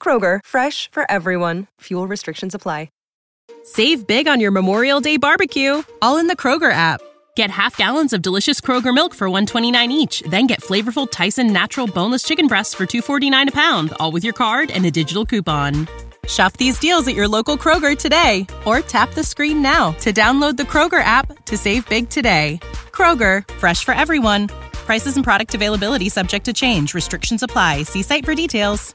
Kroger, fresh for everyone. Fuel restrictions apply. Save big on your Memorial Day barbecue, all in the Kroger app. Get half gallons of delicious Kroger milk for 129 each, then get flavorful Tyson natural boneless chicken breasts for 249 a pound, all with your card and a digital coupon. Shop these deals at your local Kroger today or tap the screen now to download the Kroger app to save big today. Kroger, fresh for everyone. Prices and product availability subject to change. Restrictions apply. See site for details.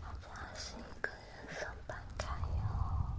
好吧，是一个人生半开以后。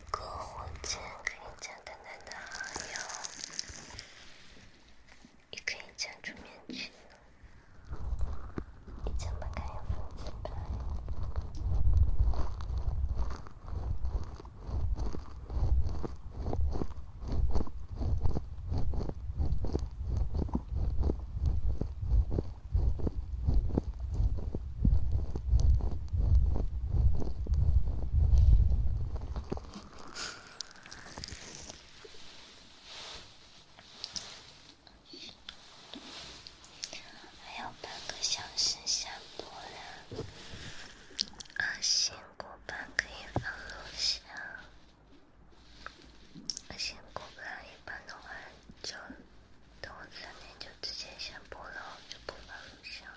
隔火间可以加丹丹的好友，也可以加出面具，你怎么敢有粉丝牌？还要半个小时下播了，二星古板可以放录像，二星古板一般的话就。等我三点就直接下播了，就不发录像了。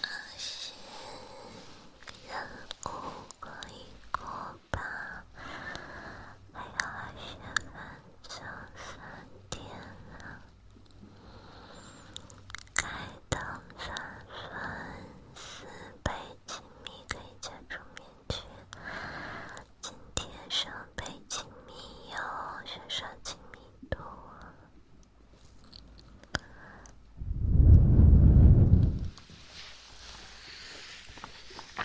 啊，行，那我过一个吧。还有二十分钟，三点了，开通三粉丝，被亲密的加桌面。今天上北京密友，线上亲密度。哎。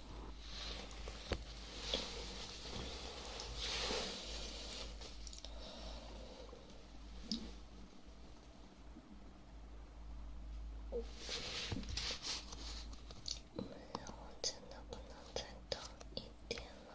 我真的不能再等一点了。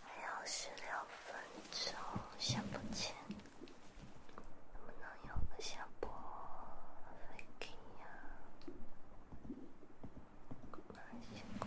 还有十六分钟，下播前能不能有个下播？飞给呀，难辛苦。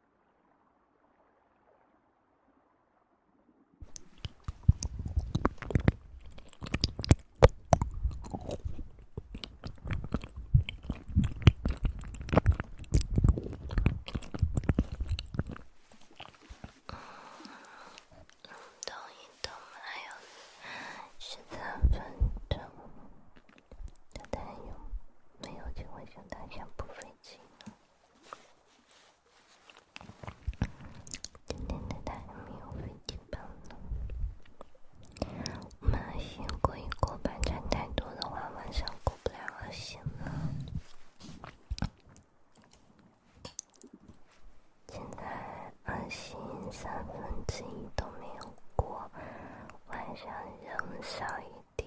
动一动，还有十三分钟。大家有没有觉得像大象不费劲？真的太没有负担了。晚上过一个班站太多的话，晚上过不了了，行了。现在安心三分之一都没有过，晚上人少一点。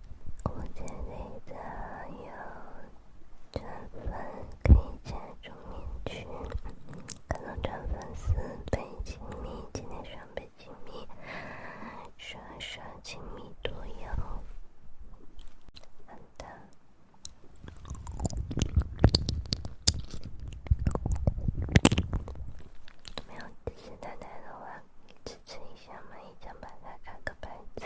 我这里在有转粉，可以加入群群，还能转粉丝，倍亲密，今天双倍亲密，刷刷亲密都有。好的，没有其他内容了。吃一下蚂蚁，再把它卡个牌子。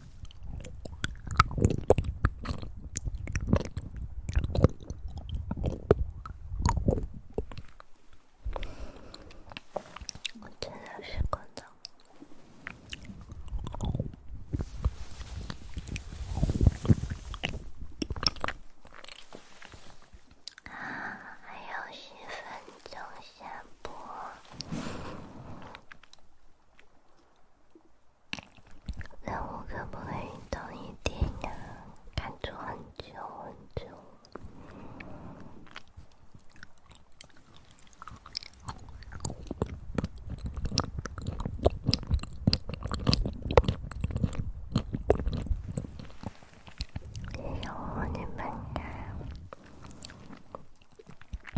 我再睡十分钟，啊，还有十分钟下播。任务可不可以多一点呀？看错很久很久，以后你别来。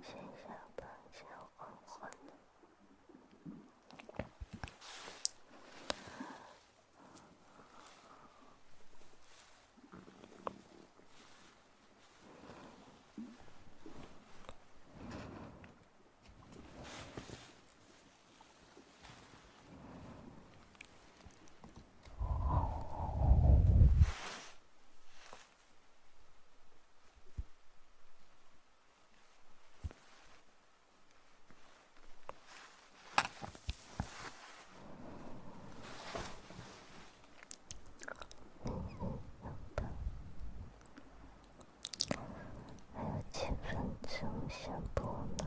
写下半小黄昏。还有几分钟下播呢？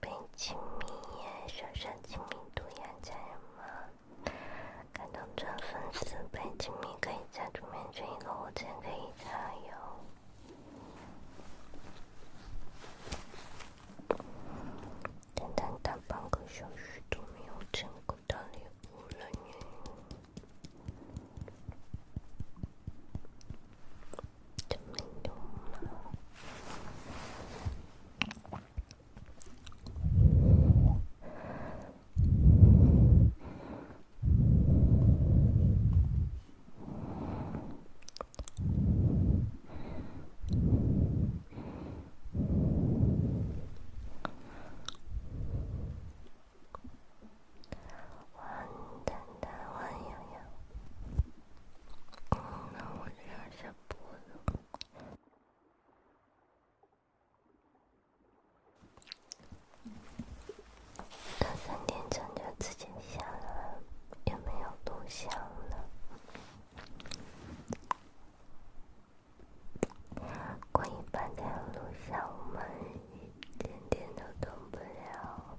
白金迷耶，小山金迷都要加入吗？感动赚粉丝，白金迷可以加注，满钻一个五千可以加油。等等，大半个小时都没有成功登录，我了你，真没用吗？弯弯的，弯悠悠。那我留下播了。到三点钟就直接下了，也没有录像了。过一半天录像，我们一点点都动不了。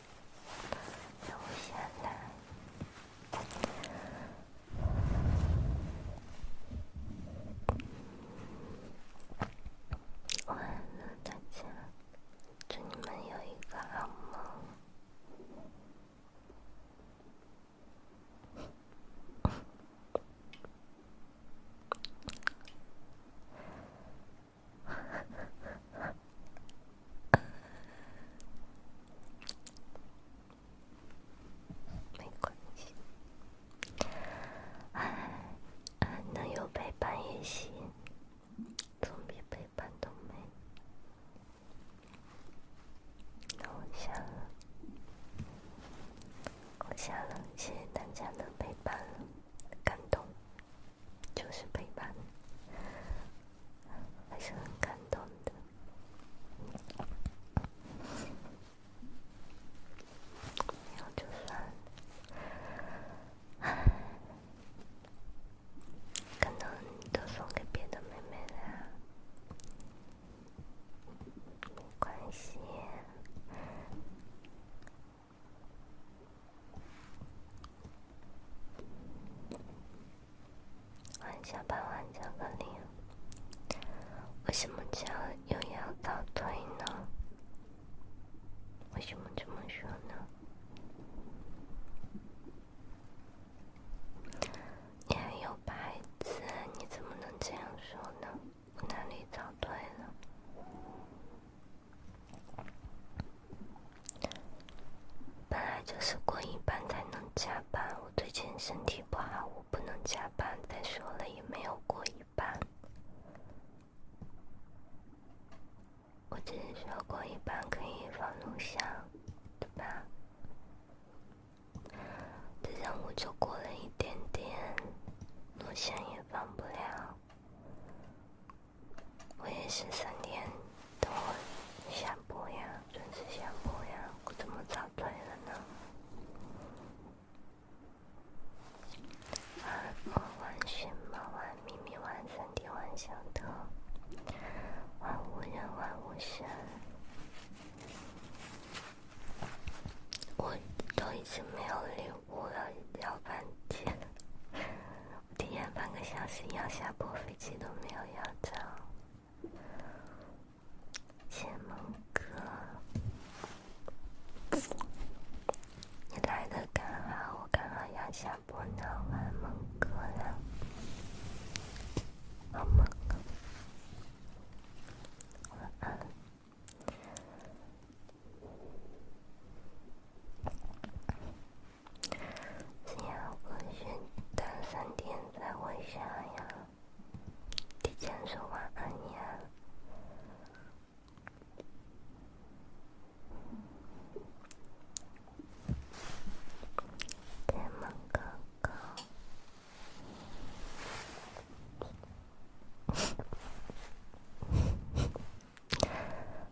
悠闲了，晚安大家，祝你们有一个好梦。没关系，能有陪伴也行，总比陪伴都没。我下了，我下了，谢谢大家的陪伴，感动。就是陪伴，还是很感动的。然后就算，感动都送给别的妹妹了。关心。晚下班晚巧克力，为什么今儿又要早退呢？为什么这么说呢？你还有牌子，你怎么能这样说呢？我哪里早退了？本来就是过一半才能加班，我最近身体不好，我不能加班。再说了，也没有过一半。我只是说过一半可以放录像，对吧？这任务就过了一点点，录像也放不了。我也是三点，等我下播呀，准时下播呀，我怎么早退了呢？玩玩雪猫，玩咪咪，玩三 D，玩小偷，玩无人，玩无限，我都已经没有礼物了，要半天。提前半个小时要下播，飞机都没有要着。启梦哥，你来的刚好，我刚好要下播，要玩梦哥了。好梦，晚安。是要隔三、隔三天再回啥呀？提前说晚安呀，天狼哥哥。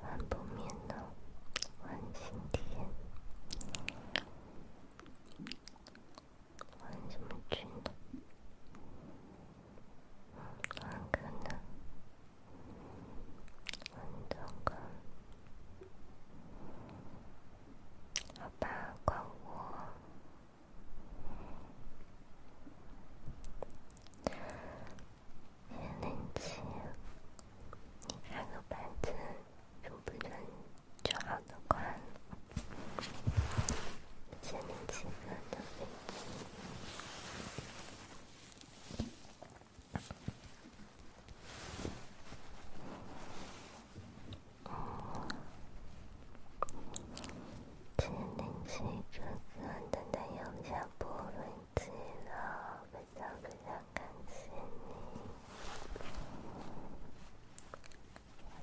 换不眠呢？换新天？换什么群呢？换可能？换这个？好吧，怪我。千零七，你看个板子准不准？就好的快。千零七分的。天气这个的代价不问及了，非常非常感谢你，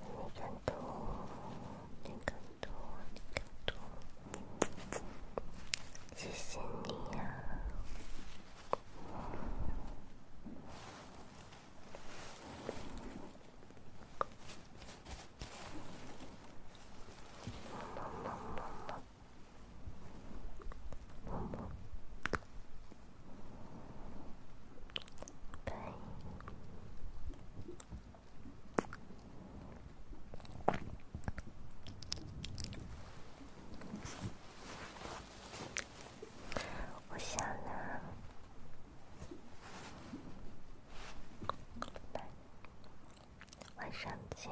你感动，你感动，你感动，谢谢你呀。嗯嗯嗯嗯嗯。嗯嗯。拜。我想呢。拜。晚上见。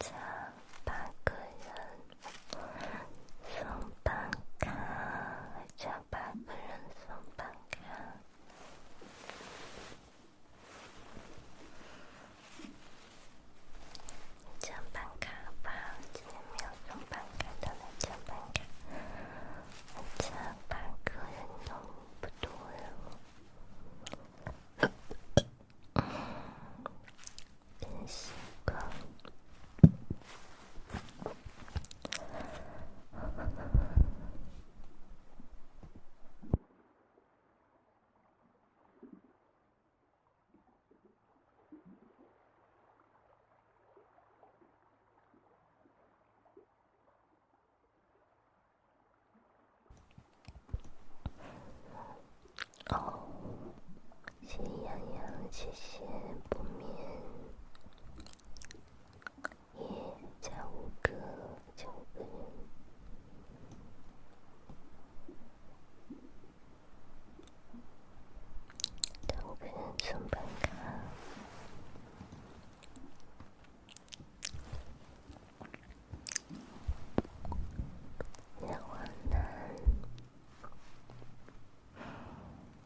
叫八个人送半卡，叫八个人送半卡。上班卡不好，就没有上班卡了。上班卡，上 班客人多不多？真奇哦，喜羊羊，谢谢不灭。也照顾个照顾人，照顾人上班去，夜晚呢？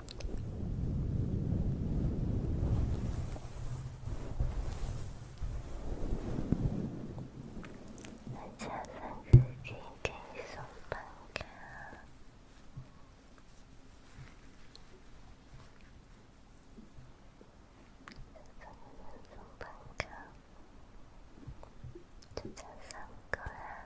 我叫三哥，给你送板卡。三哥给你送板卡。叫三哥啊。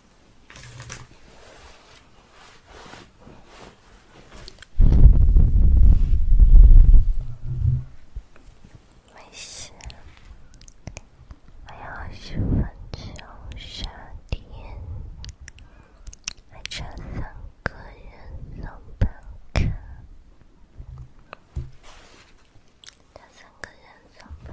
没事，还有十五分钟下还差三个人上班。开，那三个人弄不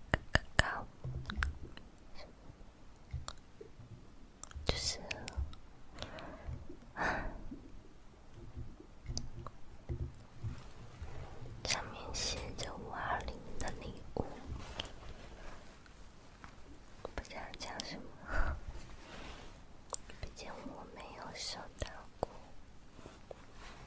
就是上面写着“五二零”的礼物，不知道讲什么，毕竟我没有收到过。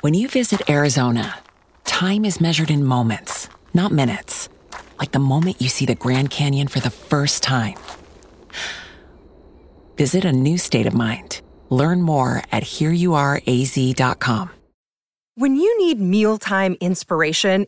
When you visit Arizona, time is measured in moments, not minutes. Like the moment you see the Grand Canyon for the first time. Visit a new state of mind. Learn more at hereyouareaz.com. When you need mealtime inspiration,